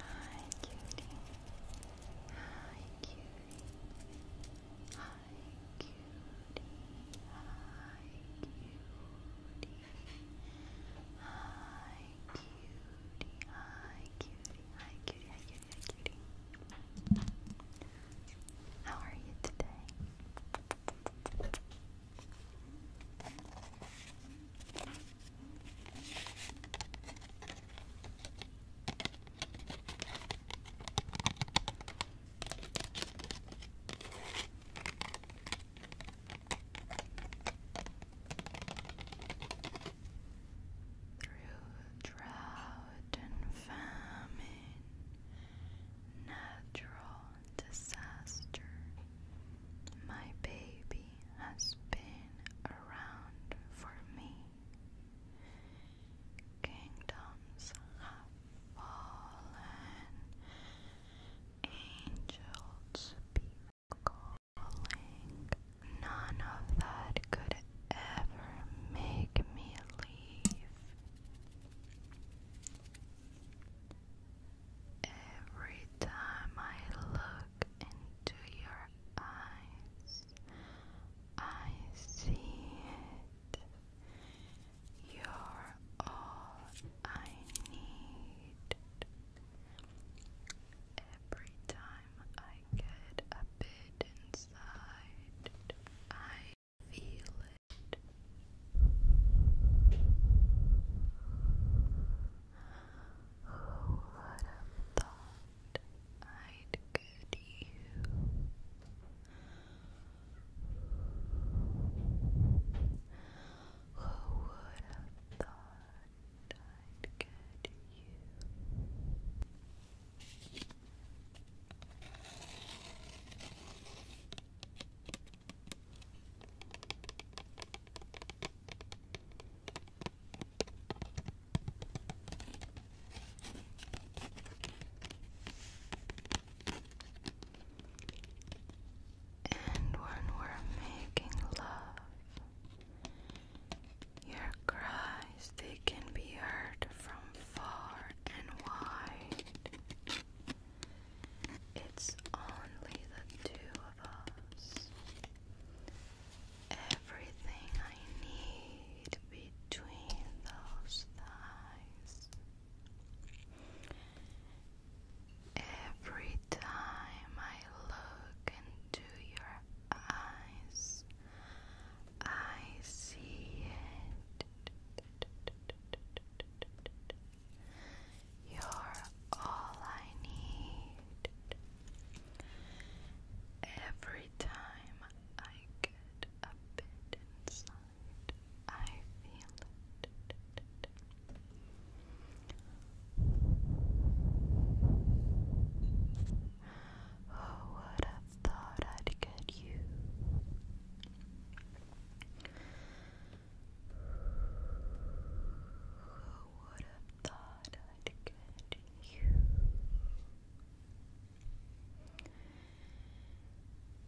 Hi, cutie. Hi, cutie. Hi, cutie. Hi, cutie. Hi, cutie. Hi, cutie. Hi, cutie. Hi, cutie. Hi, cutie. How are you today? Through drought and famine, natural disaster. My baby has been around for me. Kingdoms have fallen, angels be calling. None of that could ever make me leave. Every time I look into your eyes, I see it. You're all I need. Every time I get a bit inside, I who would have thought I'd get you? Who would have thought I'd get you? And when we're making love, your cries they can be heard from far and wide. It's only the two of us. Everything I need between those thighs. Every time I look into your eyes, I see it. You're all I need. Every time I get a bit inside, I feel it. Who would have thought I'd get you. Who would have thought I'd get you?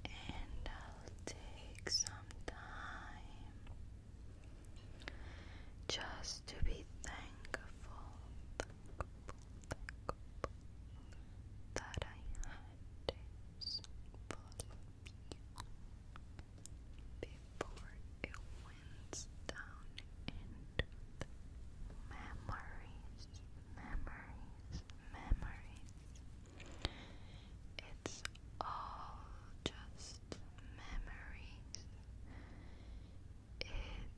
And I'll take some time just to be thankful that I had this follow you before it winds down into memories, memories, memories. It's all just memories.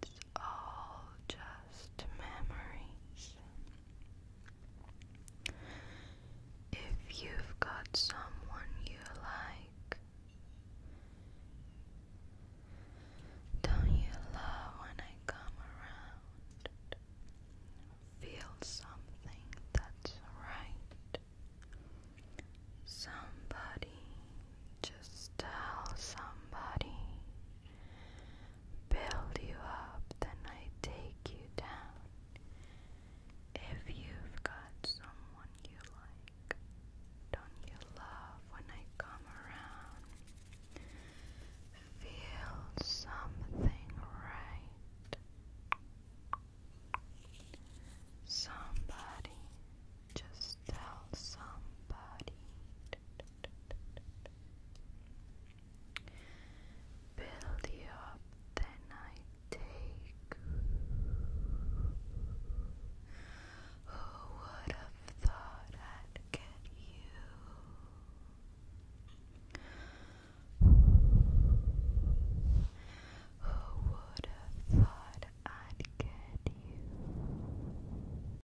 It's all just memories. If you've got someone you like, don't you love when I come around? Feel something that's right. Somebody, just tell somebody build you up than I take you down. If you've got someone you like, don't you love when I come around? Feel something right. Somebody, just tell somebody. Build you up, then I take. Who would have thought I'd get you? Who would have thought I'd get you?